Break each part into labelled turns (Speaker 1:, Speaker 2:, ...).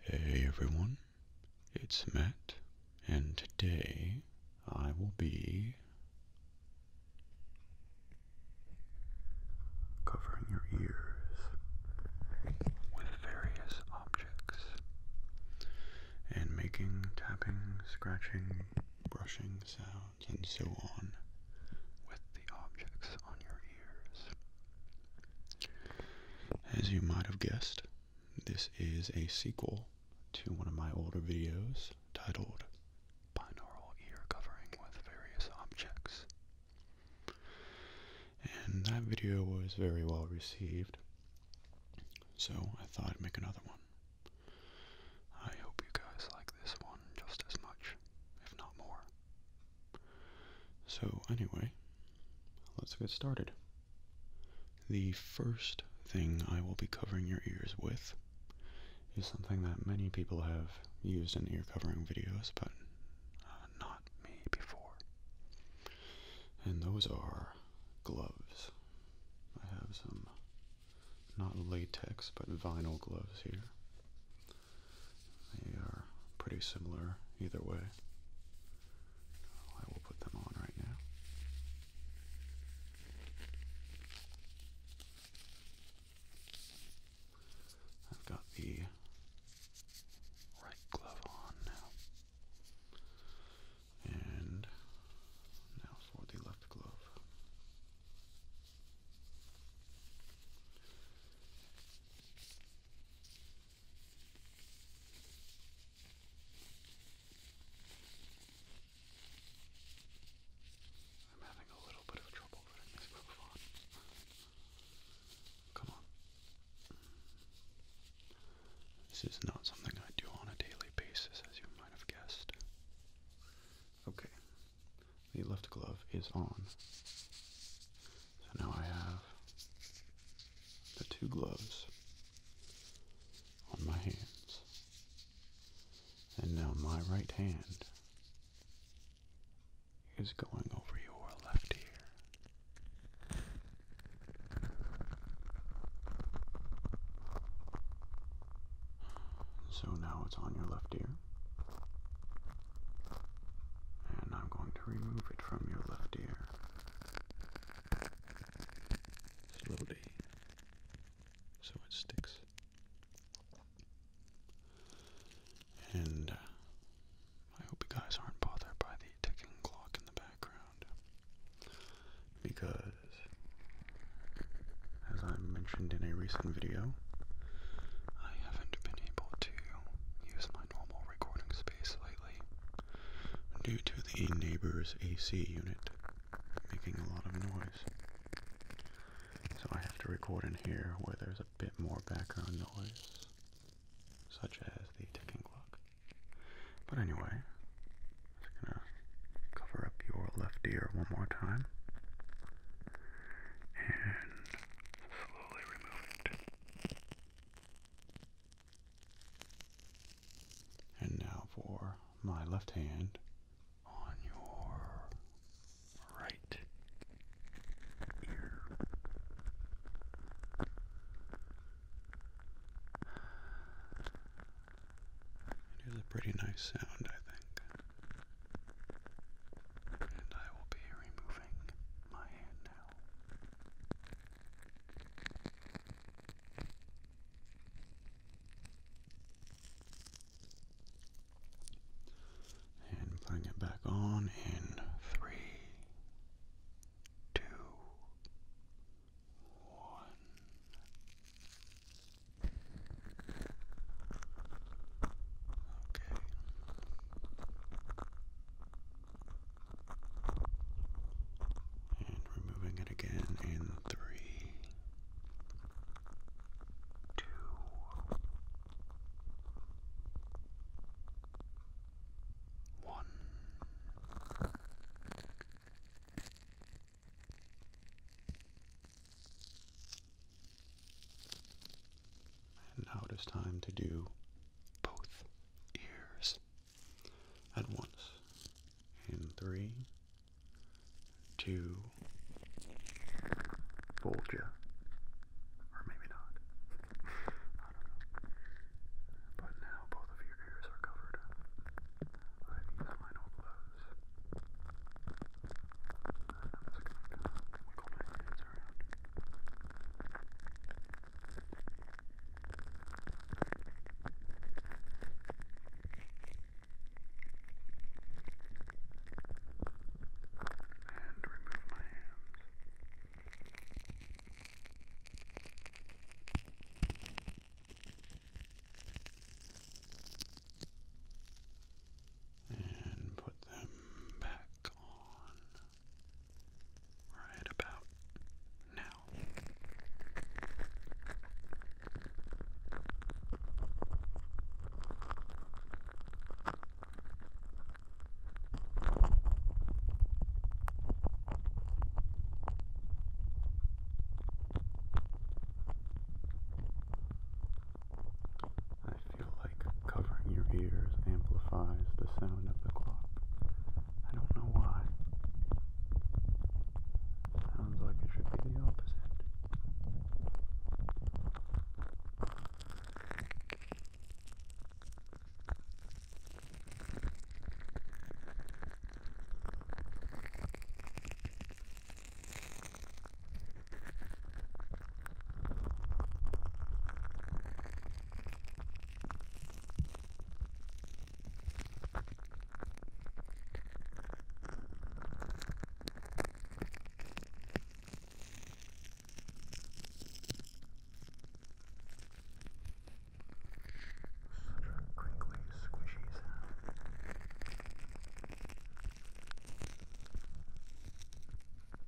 Speaker 1: Hey everyone, it's Matt, and today I will be covering your ears with various objects and making tapping, scratching, brushing sounds, and so on with the objects on your ears. As you might have guessed, this is a sequel to one of my older videos titled Binaural Ear Covering with Various Objects. And that video was very well received, so I thought I'd make another one. I hope you guys like this one just as much, if not more. So, anyway, let's get started. The first thing I will be covering your ears with is something that many people have used in ear covering videos, but uh, not me before. And those are gloves. I have some not latex but vinyl gloves here. They are pretty similar either way. I will put them on right now. I've got the right glove on now. And now for the left glove. I'm having a little bit of trouble putting this move Come on. This is not something I do on a daily basis, as you might have guessed. Okay, the left glove is on. So now I have the two gloves on my hands. And now my right hand is going over your left ear. So now it's on your left ear. And I'm going to remove it from your left ear. Slowly. So it sticks. And uh, I hope you guys aren't bothered by the ticking clock in the background. Because, as I mentioned in a recent video, I haven't been able to use my normal recording space lately due to the neighbor's AC unit making a lot of noise. So I have to record in here where there's a bit more background noise, such as the ticking clock. But anyway, I'm gonna cover up your left ear one more time and slowly remove it. And now for my left hand on your right ear. It is a pretty nice sound, I think. And I will be removing moving my And putting it back on in three, two, one. Okay. And removing it again in three, two, one now it is time to do both ears at once. In three, two, fold you. Or maybe not. I don't know. But now both of your ears are covered. I've used mine all closed wiggle my hands around. And remove my hands. Now and put them back on right about now. I feel like covering your ears amplifies the sound of the clock. I don't know why. Sounds like it should be the opposite. Such a crinkly, squishy sound.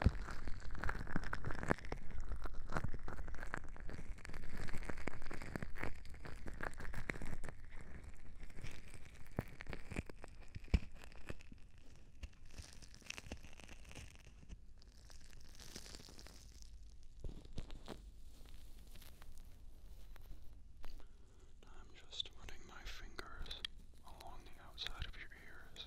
Speaker 1: I'm just running my fingers along the outside of your ears.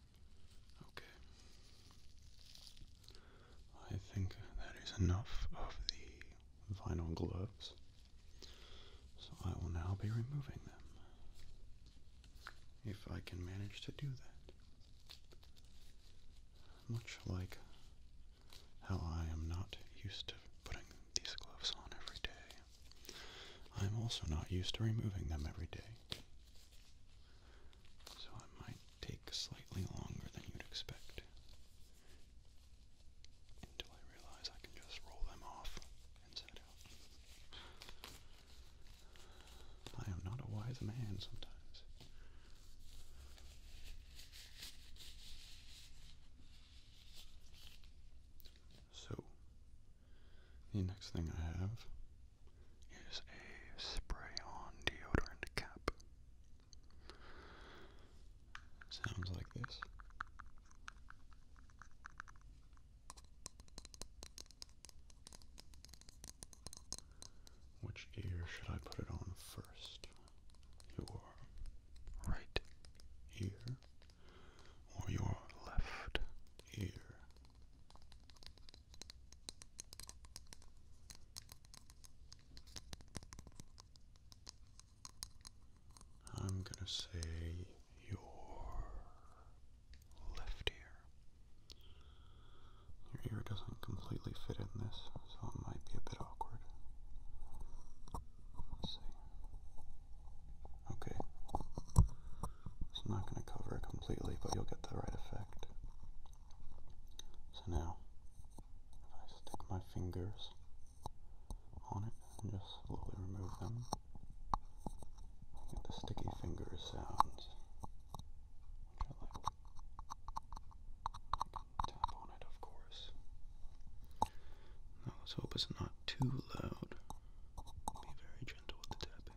Speaker 1: Okay. I think that is enough of the vinyl gloves. So I will now be removing them. If I can manage to do that. Much like how I am not used to putting these gloves on every day, I'm also not used to removing them every day. So it might take slightly longer than you'd expect until I realize I can just roll them off and out. I am not a wise man sometimes. So, the next thing I have is a spray-on deodorant cap. Sounds like this. Which ear should I put it on first? Your right ear or your left ear? I'm going to say your left ear. Your ear doesn't completely fit in this, so it might be a bit awkward. Okay. It's not going to cover it completely, but you'll get the right effect. So now, if I stick my fingers on it and just slowly remove them, get the sticky finger sounds, which I tap on it, of course. Now let's hope it's not too loud. Be very gentle with the tapping.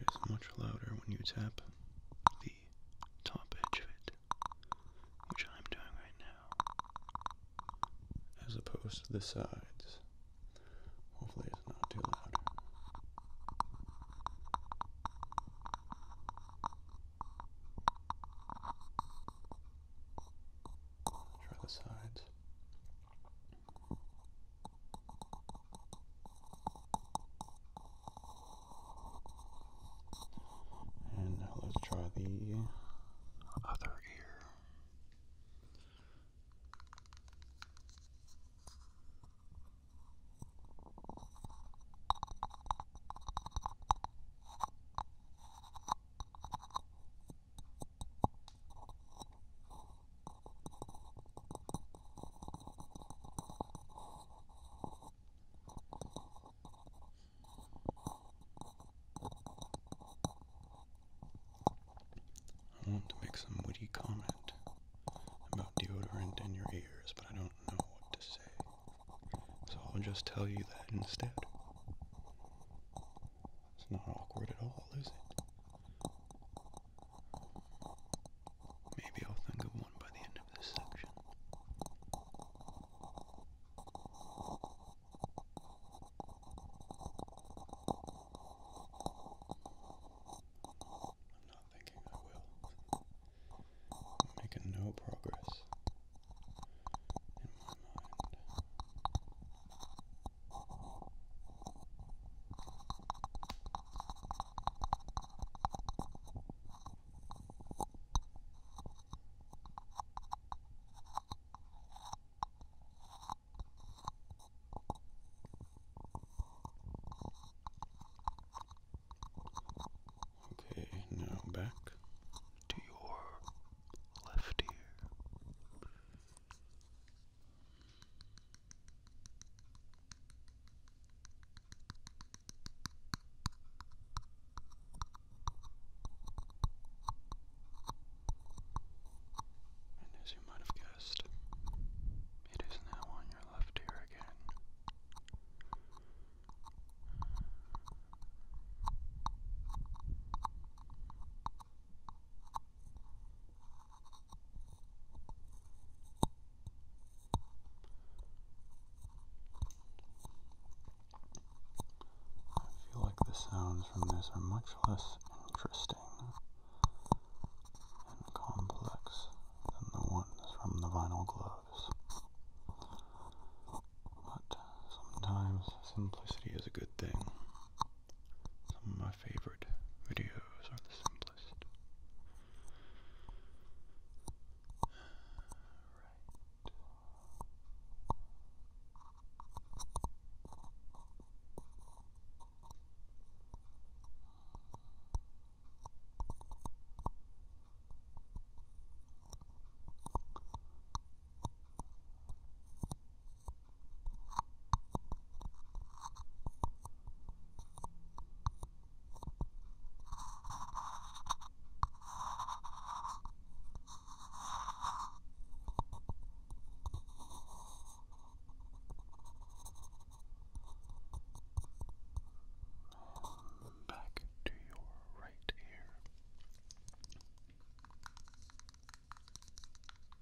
Speaker 1: It is much louder when you tap the top edge of it, which I'm doing right now, as opposed to the sides. Hopefully, it's not too loud. Try the sides. And let's try the other ear. I want to make some witty comment about deodorant in your ears, but I don't know what to say. So I'll just tell you that instead. It's not awkward at all, is it? Maybe I'll think of one by the end of this section. I'm not thinking I will. making no progress in my mind. Okay, now back to your left ear. And as you might have guessed, it is now on your left ear again. I feel like the sounds from this are much less interesting and complex than the ones from the vinyl gloves. But sometimes simplicity is a good thing favorite videos are the simplest. And back to your right ear.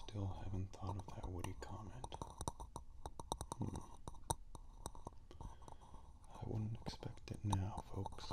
Speaker 1: Still haven't thought of that Woody comment. Hmm. I wouldn't expect it now, folks.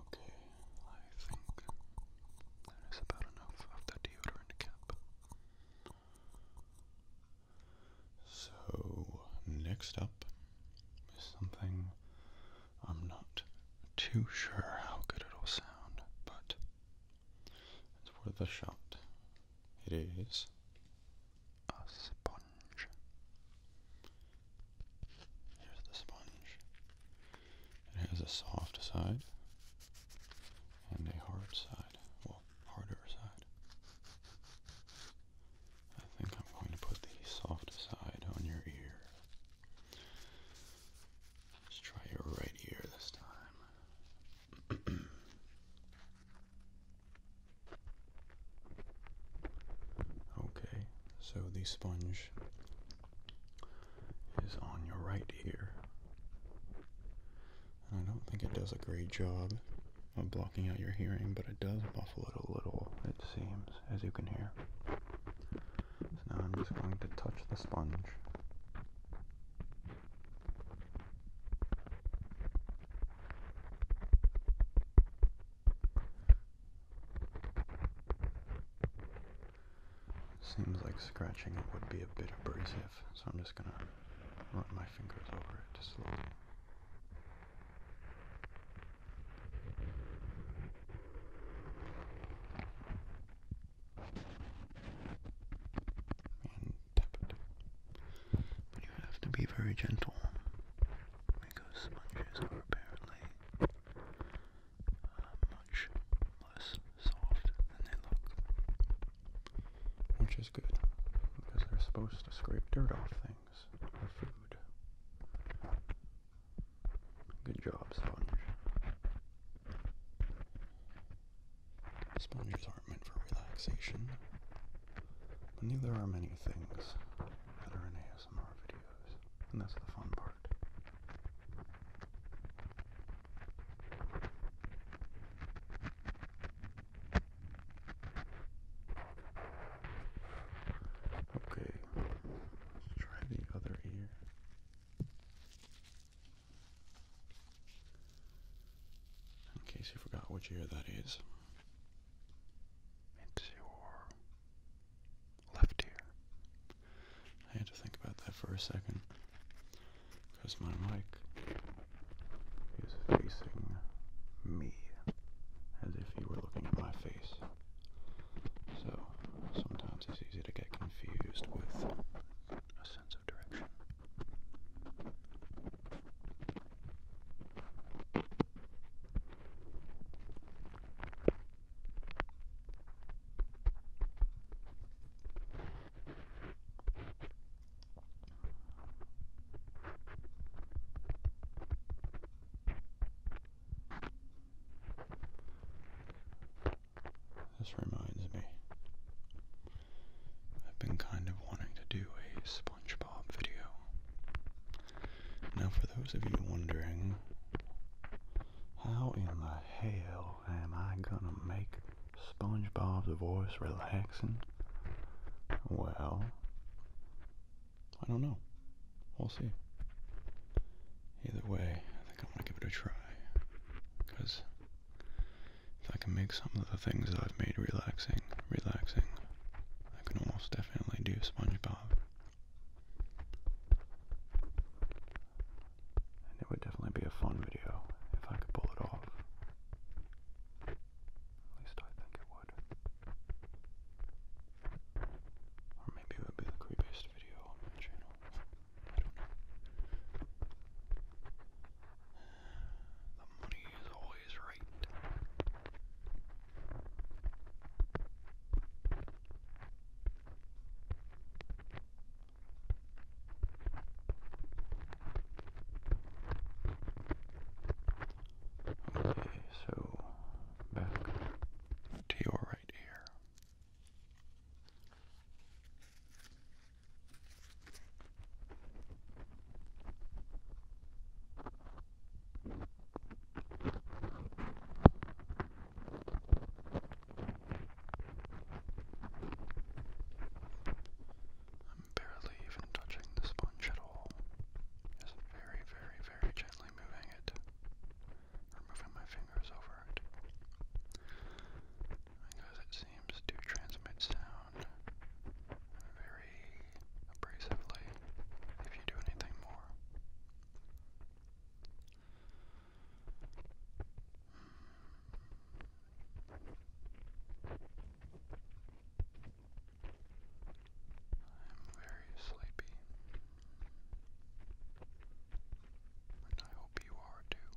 Speaker 1: Okay, I think that is about enough of the deodorant cap. So, next up is something I'm not too sure how good it'll sound, but it's worth a shot. It is a sponge. Here's the sponge. It has a soft side and a hard side. Well, harder side. I think I'm going to put the soft side on your ear. Let's try your right ear this time. okay, so the sponge is on your right here. I don't think it does a great job of blocking out your hearing, but it does muffle it a little, it seems, as you can hear. So now I'm just going to touch the sponge. Seems like scratching it would be a bit abrasive, so I'm just going to run my fingers over it slowly. And tap it. But you have to be very gentle because sponges are apparently much less soft than they look. Which is good, because they're supposed to scrape dirt off things for food. Good job, sponge. Sponges aren't meant for relaxation, but neither are many things that are in ASMR videos, and that's the fun part. Okay, let's try the other ear. In case you forgot which ear that is, it's left ear. I had to think about that for a second because my mic is facing me as if you were looking at my face. So sometimes it's easy to get confused with a sense of direction. This reminds me. I've been kind of wanting to do a SpongeBob video. Now, for those of you wondering, how in the hell am I gonna make SpongeBob's voice relaxing? Well, I don't know. We'll see. Either way, I think I'm gonna give it a try. Because if I can make some of the things that I've made relaxing, relaxing, I can almost definitely do SpongeBob it would definitely be a fun video if I could pull it off. At least I think it would. Or maybe it would be the creepiest video on my channel. The money is always right. Okay, so back to your right ear. I'm barely even touching the sponge at all. Just very, very, very gently moving it, moving my fingers over it. Because it seems to transmit sound very abrasively if you do anything more. I'm very sleepy, I hope you are too.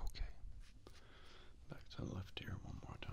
Speaker 1: Okay. Back to the left ear one more time.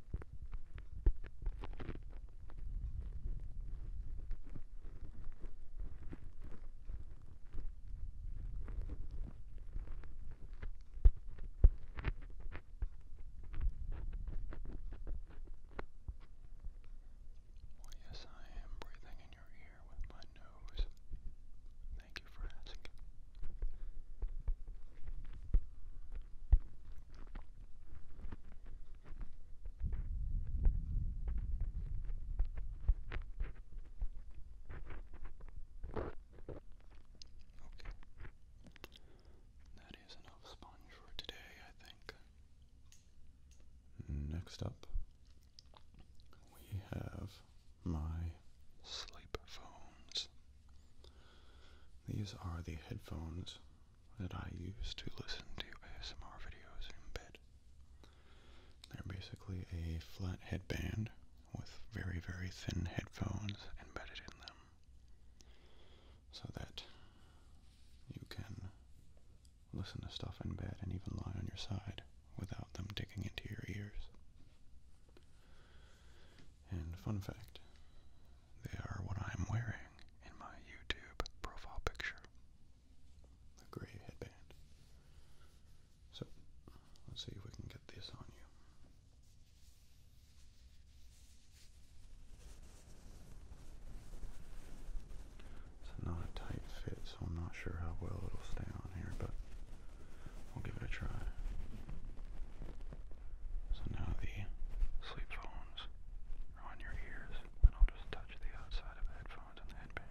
Speaker 1: Well, yes, I am breathing in your ear with my nose. Thank you for asking. Okay. That is enough sponge for today, I think. Next up, we have my sleep phones. These are the headphones that I use to listen to ASMR videos in bed. They're basically a flat headband with very, very thin headphones embedded in them so that you can listen to stuff in bed and even lie on your side without them digging into your ears. And fun fact, they are what I am wearing in my YouTube profile picture. The gray headband. So, let's see if we can get this on you. It's not a tight fit, so I'm not sure how well it'll stay on here, but we'll give it a try. So now the sleep phones are on your ears, and I'll just touch the outside of the headphones and the headband.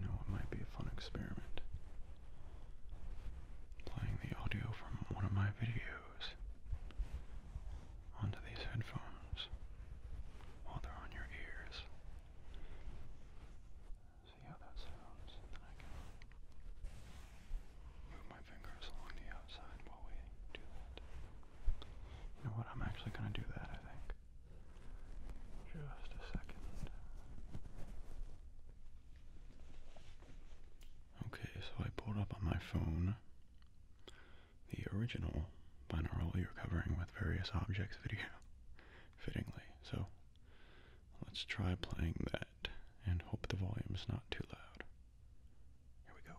Speaker 1: You know, it might be a fun experiment playing the audio from one of my videos onto these headphones while they're on your ears. See how that sounds, then I can move my fingers along the outside while we do that. You know what? I'm actually going to do that, I think. Just a second. Okay, so I pulled up on my phone the original binaural you're covering with various objects video, fittingly. So let's try playing that and hope the volume is not too loud. Here we go.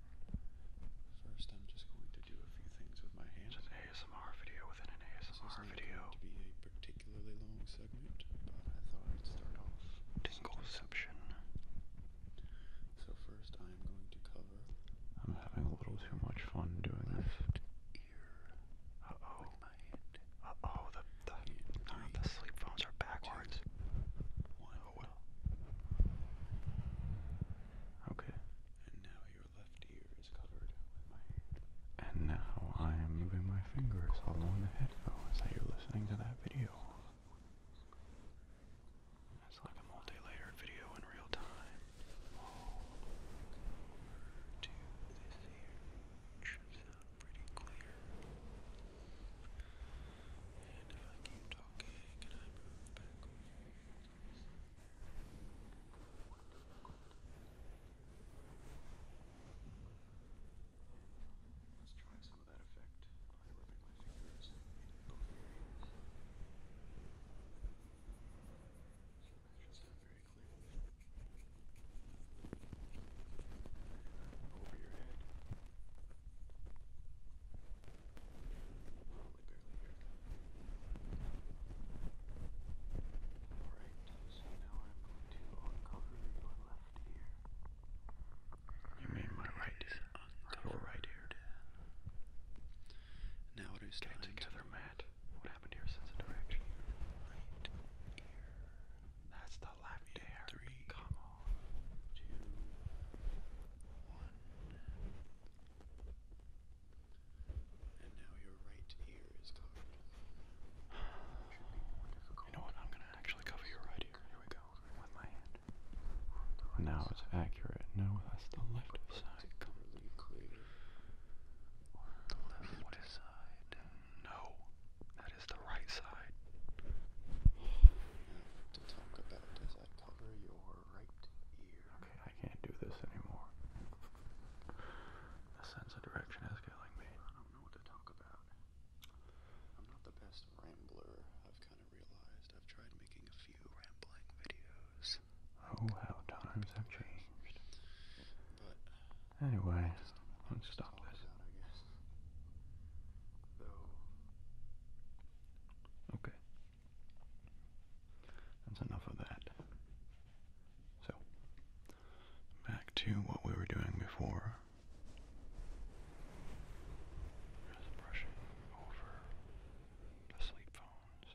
Speaker 1: First, I'm just going to do a few things with my hands. an ASMR video within an ASMR video. to be a particularly long segment, but I thought I'd start off. Tingleception. So first, I am going to cover. I'm having a little too much fun doing this. Ear. Uh oh. Uh oh. The the, the sleep phones are backwards. Oh well. Okay. And now your left ear is covered with my hand. And now I am moving my fingers along the headphones that you're listening to that video. It's like a multi-layered video in real time. All this ear. Should sound pretty clear. And if I keep talking, can I move backwards? Let's try some of that effect by rubbing my fingers in both areas. That's just not very clear. Over your head. Over your head now I'm going to You mean my right ear? Uncover right ear. Now it is time together, Matt. What happened here since the direction? Right ear. That's the left ear. Come on. Two. One. And now your right ear is covered. You know what? I'm gonna actually cover your right ear. Here we go. With my hand. Right now side. it's accurate. No, that's the left right side. Completely clear. The left side. No, that is the right side. Now, to talk about, does I cover your right ear? Okay, I can't do this anymore. The sense of direction is killing me. I don't know what to talk about. I'm not the best rambler, I've kind of realized. I've tried making a few rambling videos. Oh, how times have changed. But anyway, let's stop this. Okay. That's enough of that. So, back to what we were doing before. Just brushing over the sleep phones.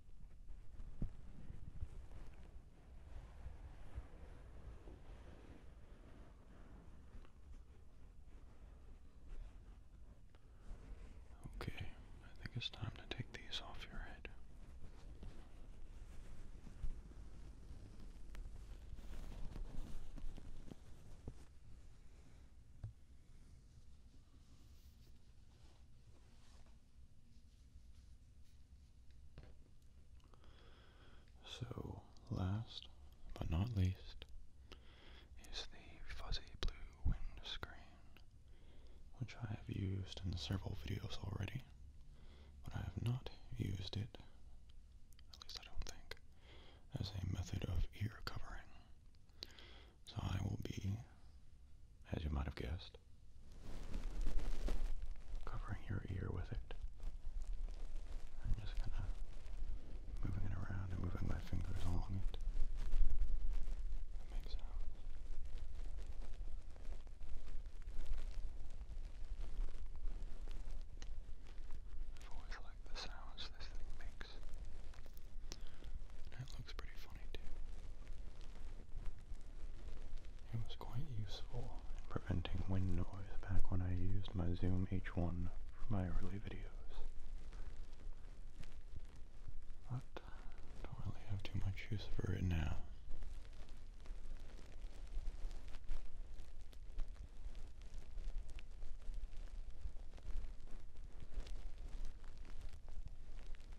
Speaker 1: Okay, I think it's time to take these off your head. So, last but not least is the fuzzy blue windscreen, which I have used in several videos already, but I have not used it, at least I don't think, as a method of ear covering. So I will be, as you might have guessed, covering your ear with it. I'm just kind of moving it around and moving my fingers along it. That makes sounds. i always liked the sounds this thing makes. It looks pretty funny too. It was quite useful in preventing wind noise back when I used my Zoom H1 for my early videos. But don't really have too much use for it now.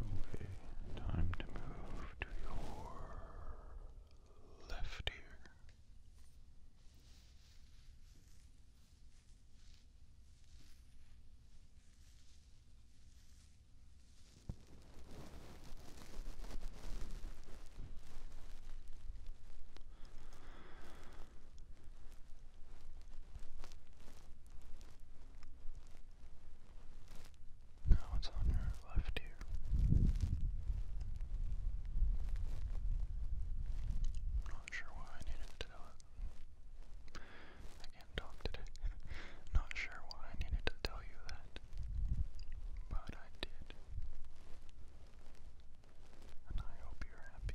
Speaker 1: Okay, time to move to your left ear. Now it's on your left ear. not sure why I needed to do it. I can't talk today. not sure why I needed to tell you that that, but I did. And I hope you're happy.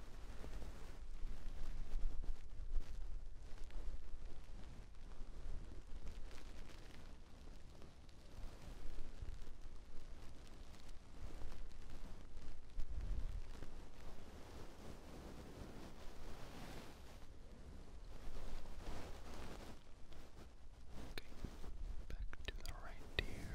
Speaker 1: Okay, back to the right ear.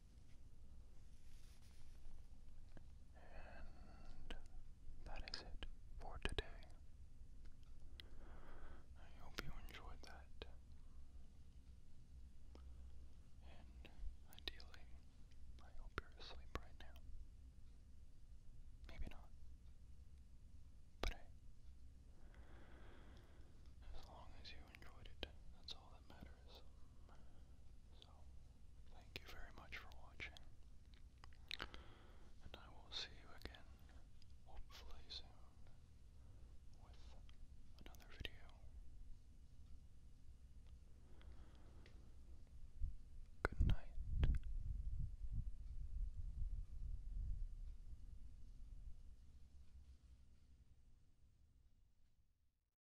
Speaker 1: And that is it for today. I hope you enjoyed that. And ideally, I hope you're asleep right now. Maybe not. But as long as you enjoyed it, that's all that matters. So, thank you very much for watching. And I will see you again, hopefully soon, with another video. Good night.